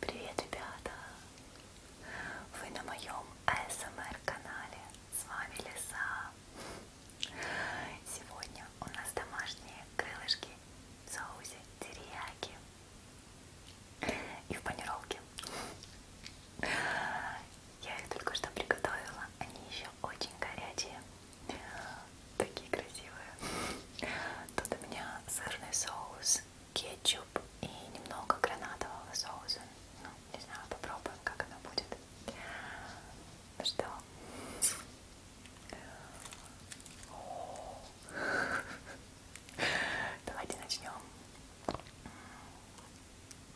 Привет, ребята! Вы на моем АСМР эм канале. С вами Лиса. Сегодня у нас домашние крылышки в соусе терияки и в панировке. Я их только что приготовила. Они еще очень горячие. Такие красивые. Тут у меня сырный соус, кетчуп и немного гранатового соуса. Ну, не знаю, попробуем, как оно будет. Ну что? Давайте начнем.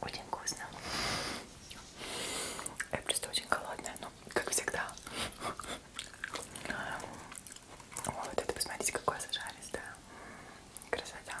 Очень вкусно. Я просто очень голодная, но как всегда. Вот это посмотрите, какое зажаристое. Красота.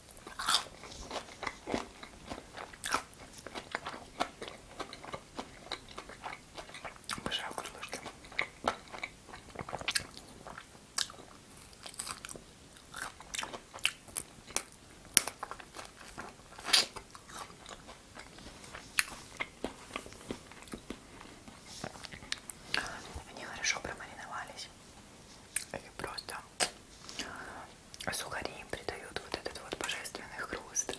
Обожаю крылышки. Они хорошо промариновались. И просто сухари им придают вот этот вот божественный хруст.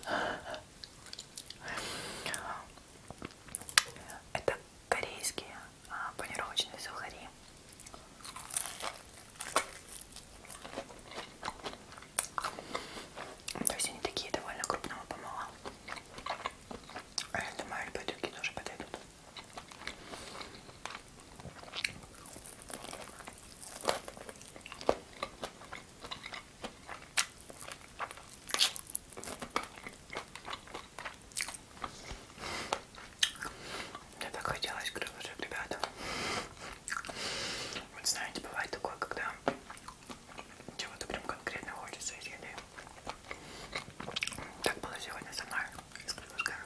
Это корейские а, панировочные сухари. То есть они такие довольно крупного помола. А я думаю, любые другие тоже подойдут. Мне так хотелось крылышек, ребята. Вот знаете, бывает такое, когда чего-то прям конкретно хочется из еды. Так было сегодня со мной, с крылышками.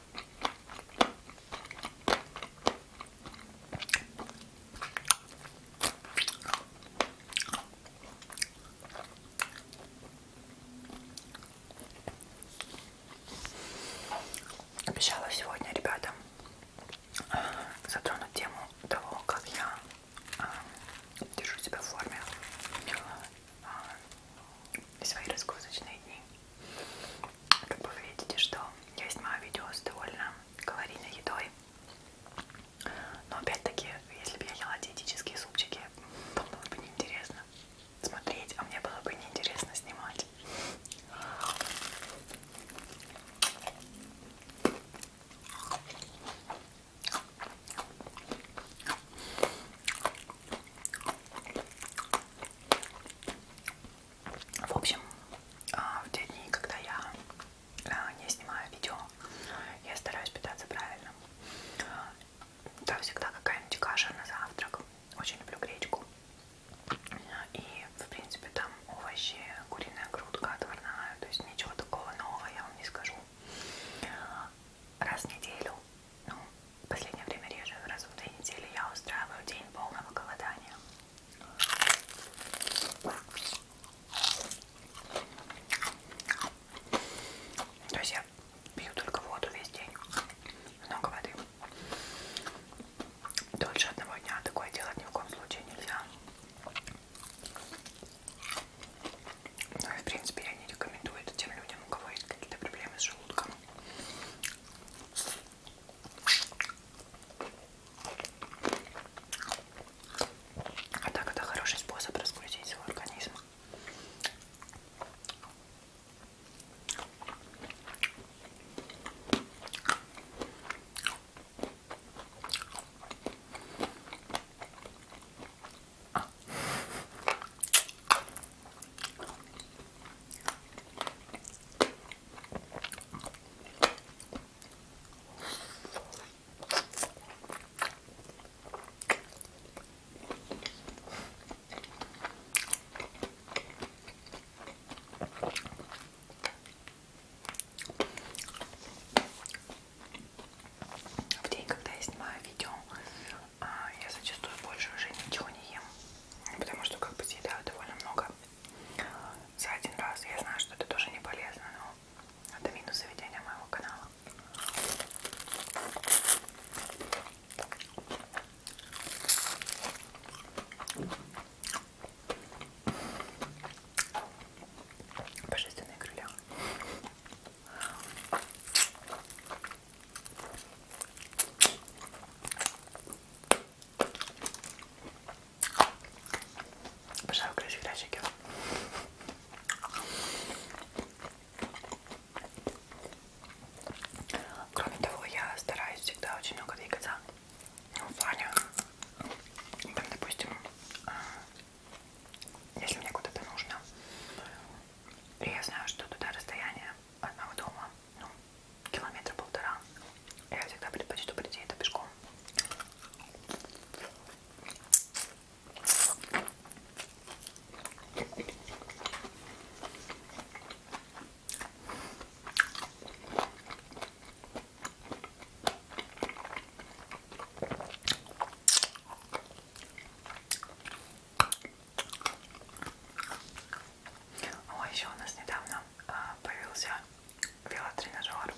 Обещала сегодня, ребята, а, затронуть тему того, как я а, держу себя в форме а, и свои разгрузочные дни. Как бы вы видите, что я снимаю видео с довольно калорийной едой. Но опять-таки, если бы я ела диетические супчики, вам было бы неинтересно смотреть, а мне было бы неинтересно снимать. В общем, а, в те дни, когда я а, не снимаю видео, я стараюсь питаться правильно. Да, всегда какая-нибудь каша на завтрак. Очень люблю гречку. И, в принципе, там овощи, куриная грудка отварная. То есть ничего такого нового я вам не скажу. Раз в неделю, ну, в последнее время реже, раз в две недели я устраиваю день полного голодания. То есть я пью только воду весь день, много воды. Дольше одного дня такое делать ни в коем случае нельзя. Ну и в принципе я не рекомендую это тем людям, у кого есть какие-то проблемы с желудком. А так это хороший способ разгрузить свой организм. В день, когда я снимаю видео, а, я зачастую больше уже ничего не ем. Потому что как бы съедаю довольно много за один раз. Я знаю, что это тоже не полезно, но это минус заведения моего канала. Божественные крылья. Обожаю красить красики. Кроме того, я стараюсь всегда очень много двигаться. Ну, в плане, там, допустим, а, если мне куда-то нужно, и я знаю, что туда расстояние одного дома ну, километра полтора. Я всегда предпочту прийти это пешком. О, еще у нас недавно а, появился велотренажер.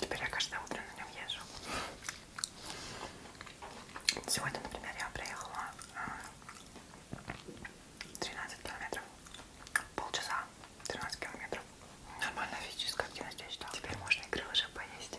Теперь я каждое утро на нем езжу. Сегодня, например, я проехала 13 а, километров. Полчаса, 13 километров. Нормальная физическая активность, я считаю. Теперь можно и крылышек поесть.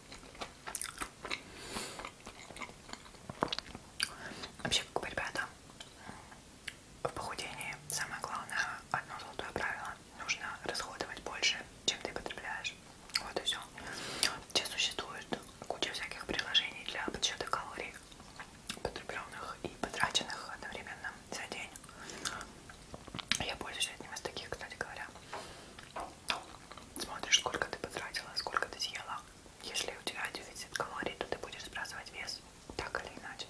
Вообще, как бы, ребята, в похудении самое главное, одно золотое правило, нужно расходовать больше, чем ты потребляешь. Вот и все. Сейчас существует куча всяких приложений для подсчета калорий, потребленных и потраченных одновременно за день. Я пользуюсь одним из таких, кстати говоря. Ну, смотришь, сколько ты потратила, сколько ты съела. Если у тебя дефицит калорий, то ты будешь сбрасывать вес, так или иначе.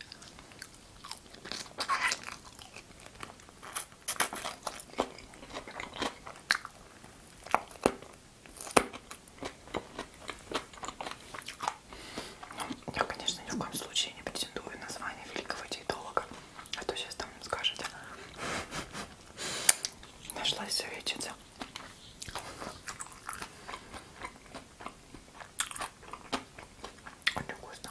Ну, я, конечно, ни в коем случае не претендую на звание великого диетолога. А то сейчас там скажете. Нашлась советчица. Очень вкусно.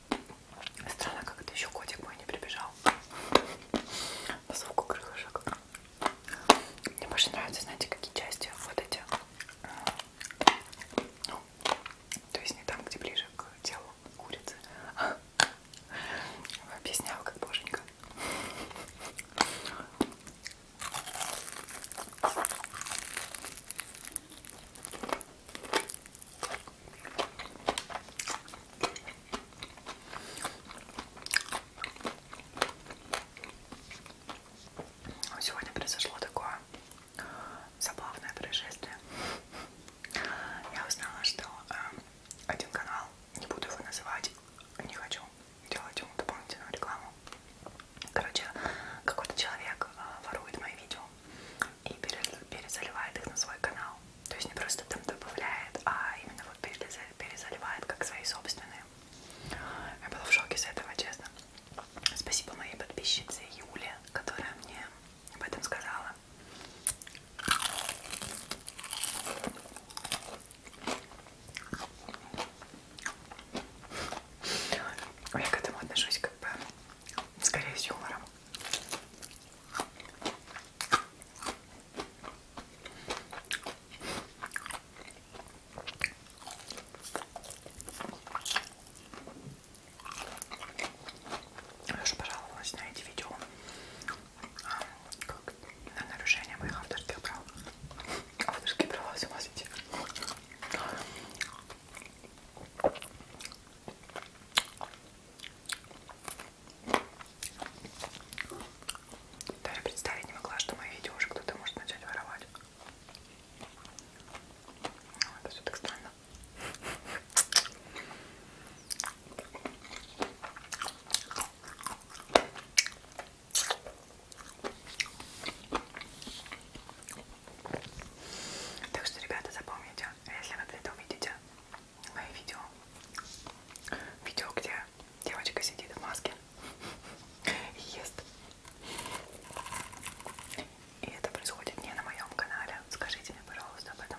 Странно, как это еще котик мой не прибежал. По звуку крылышек. Мне больше нравятся, знаете, какие части вот эти. Ну, то есть не там, где ближе к телу курицы. Объясняла как боженька. Сегодня произошло такое забавное происшествие. Я узнала, что э, один канал, не буду его называть, не хочу делать ему дополнительную рекламу. Короче, какой-то человек э, ворует мои видео и перезаливает их на свой канал. То есть не просто там добавляет, а именно вот перезаливает как свои собственные. Я была в шоке с этого, честно. Спасибо моей подписчице Юле, которая мне об этом сказала. Я к этому отношусь как бы скорее с юмором. Прошу пожаловалась на эти видео а, как на нарушение моих авторских прав. Авторские права, с ума сойти. Даже представить не могла, что мои видео уже кто-то может начать воровать. Ну, это все так странно. Так что, ребята, запомните, если вы где-то увидите мои видео, видео, где девочка сидит в маске и ест, и это происходит не на моем канале, скажите мне, пожалуйста, об этом.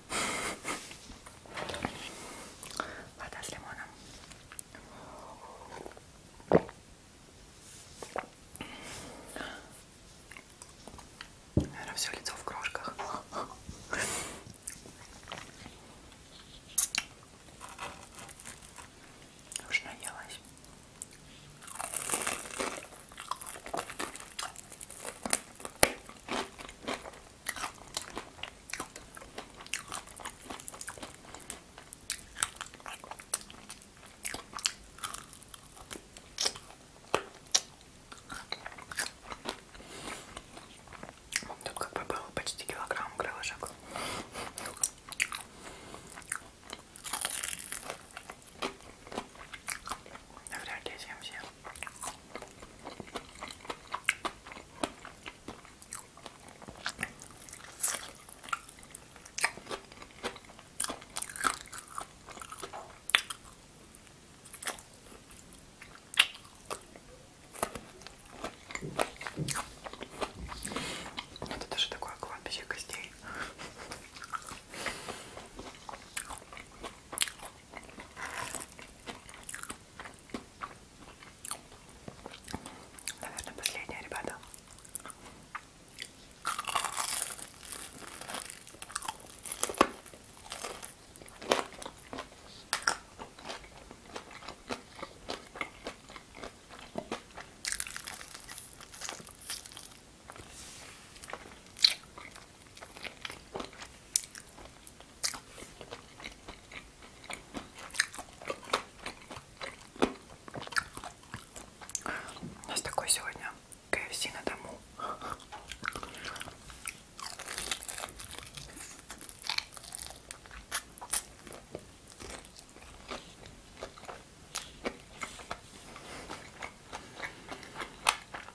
Вода с лимоном. Наверное, все лицо в крошках. Уж наелась. Тут как бы было почти килограмм крылышек. Навряд ли я съем все. Это даже такое кладбище костей. Наверное, последняя, ребята. У нас такой сегодня КФС на дому.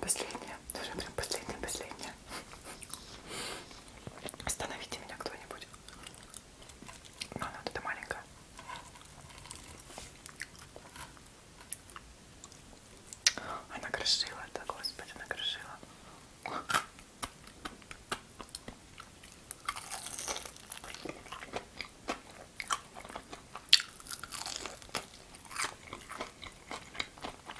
Последняя. Тоже прям последняя, последняя. Остановите меня кто-нибудь. Но ну, она тут маленькая. Она крошила, да, господи, она крошила.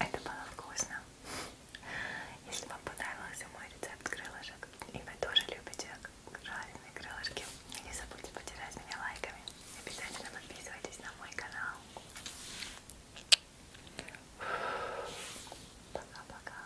Это было вкусно. Если вам понравился мой рецепт крылышек, и вы тоже любите жареные крылышки, не забудьте потерять меня лайками. Обязательно подписывайтесь на мой канал. Пока-пока.